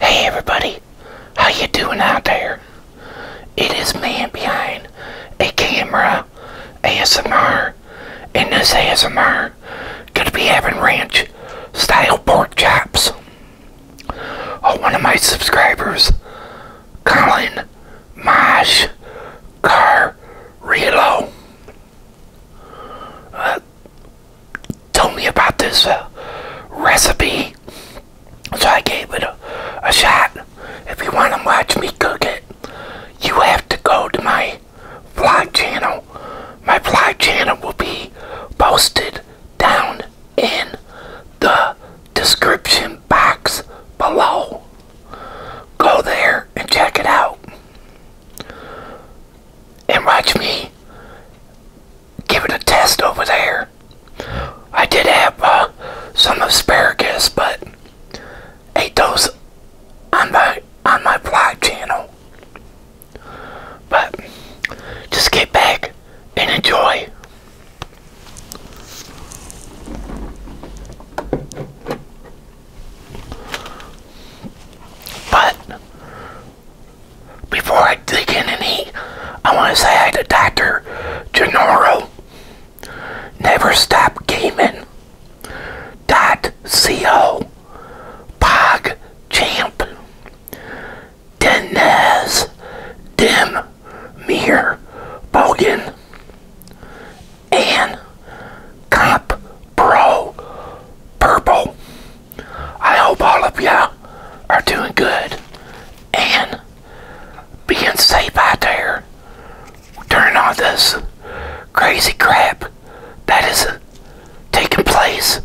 Hey everybody, how you doing out there? It is man behind a camera ASMR and this ASMR gonna be having ranch style pork chops. Oh, one of my subscribers, Colin Mosh Carrillo. Uh, Tell me about this uh, recipe, so I gave it a shot. If you want to watch me cook it, you have to go to my vlog channel. My vlog channel will be posted down in the description box below. Go there and check it out and watch me give it a test over there. I did have uh, some asparagus, but ate those on my on my vlog channel. But just get back and enjoy. But before I dig in and eat, I want to say hi to Dr. Gennaro. Never Stop Gaming. Dot co. Pog Champ. Denez. Dim. Mir. Bogan. And Comp Pro Purple. I hope all of y'all are doing good and being safe out there Turning off this crazy crap that is taking place.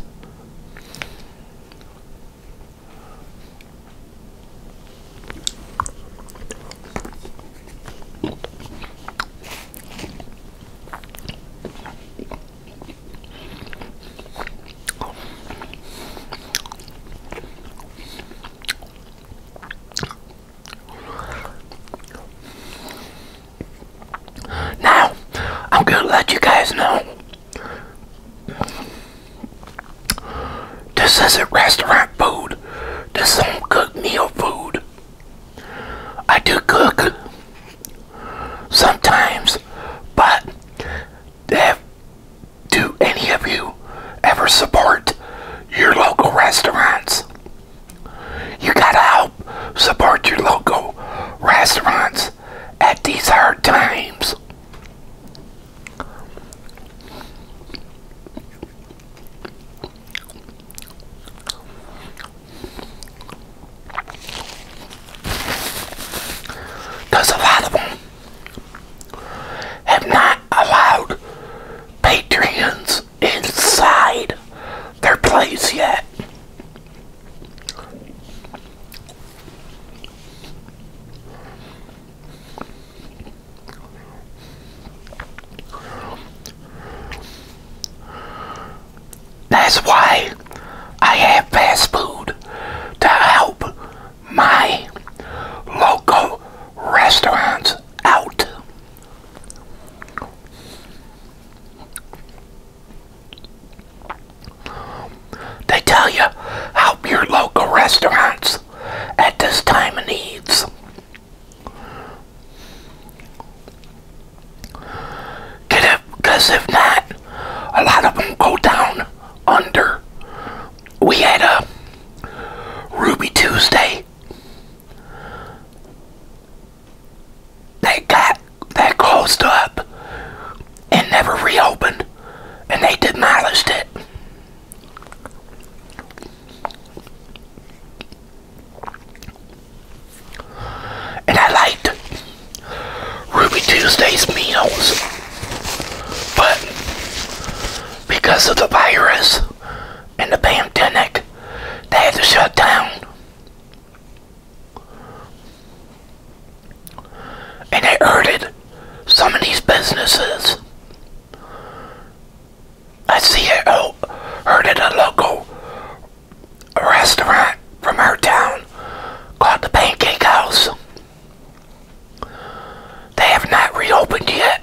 Now, I'm going to let you guys know. This isn't restaurant food. This is home cooked meal food. I do cook sometimes, but have, do any of you ever support your local restaurants? You gotta help support your local restaurants at these hard times. Because a lot of them have not allowed Patreons inside their place yet. That's why I have fast food to help my local restaurants out. They tell you help your local restaurants at this time of needs. Get it? Because if not, a lot of them go down under. We had a Ruby Tuesday. They got that closed up and never reopened, and they demolished it. And I liked Ruby Tuesday's meals, but because of the virus and the pandemic, they had to shut down. And it hurted some of these businesses. I see it oh, heard at a local restaurant from our town called the Pancake House. They have not reopened yet.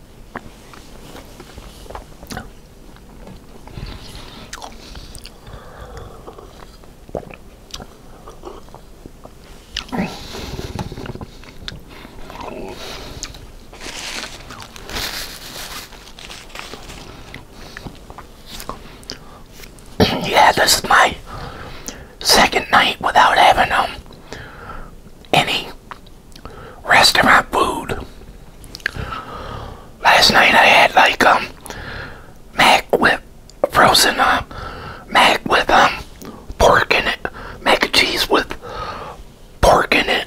yeah, this is my second night without having um any restaurant food. Last night I had like a um, mac with frozen uh, mac with um pork in it, mac and cheese with pork in it.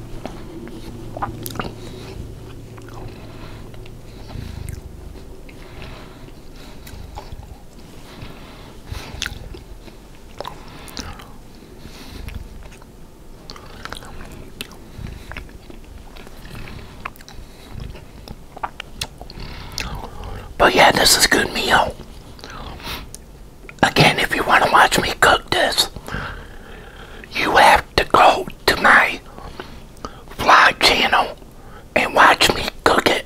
But yeah, this is good meal again, if you want to watch me cook this, you have to go to my fly channel and watch me cook it.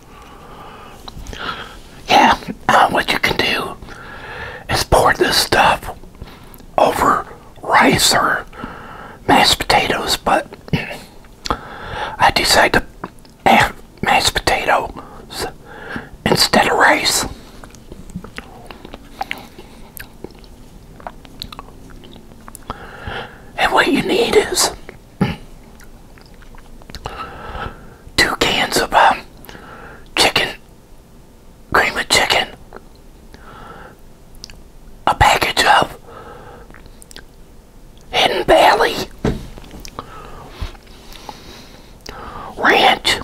Yeah, uh, what you can do is pour this stuff over rice or mashed potatoes, but I decided to add mashed potatoes instead of rice. And what you need is two cans of um, chicken, cream of chicken, a package of Hidden Valley Ranch,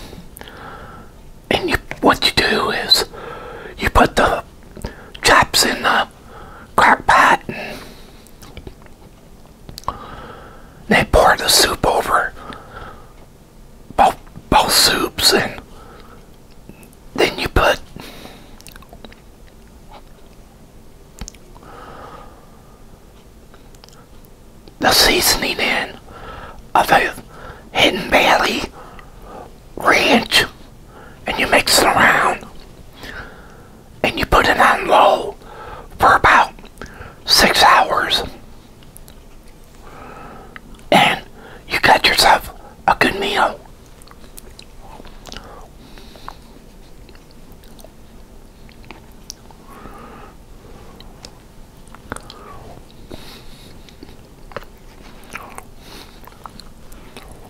and you, what you do is you put the chops in the crock pot they pour the soup over both, both soups and then you put the seasoning in of the Hidden Valley ranch and you mix it around and you put it on low for about six hours and you got yourself a good meal.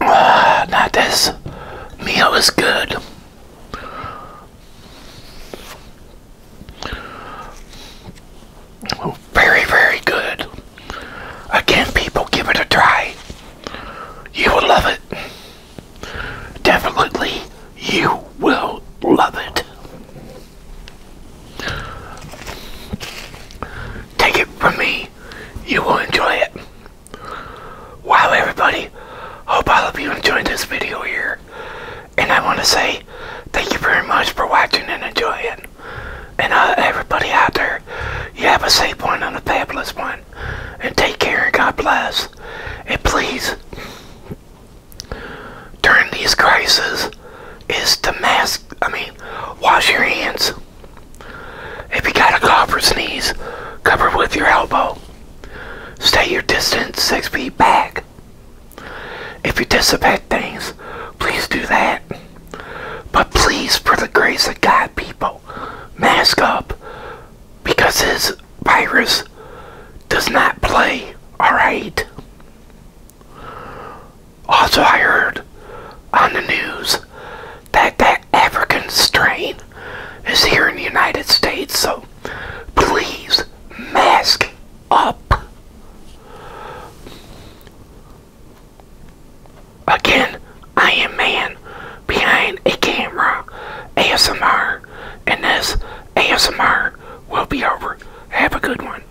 Uh, ah, not this meal is good. Very, very good. Again, people, give it a try. You will love it. Definitely, you will love it. Take it from me you will enjoy it. Wow everybody, hope all of you enjoyed this video here. And I want to say thank you very much for watching and enjoying. And uh, everybody out there, you have a safe one and a fabulous one. And take care and God bless. And please, during these crises, is to mask, I mean, wash your hands. If you got a cough or sneeze, cover with your elbow. Stay your distance six feet back. If you disinfect things, please do that. But please, for the grace of God, people, mask up because this virus does not play, alright? Also, I heard on the news that that African strain is here in the United States, so please mask up. Again, I am man behind a camera ASMR, and this ASMR will be over. Have a good one.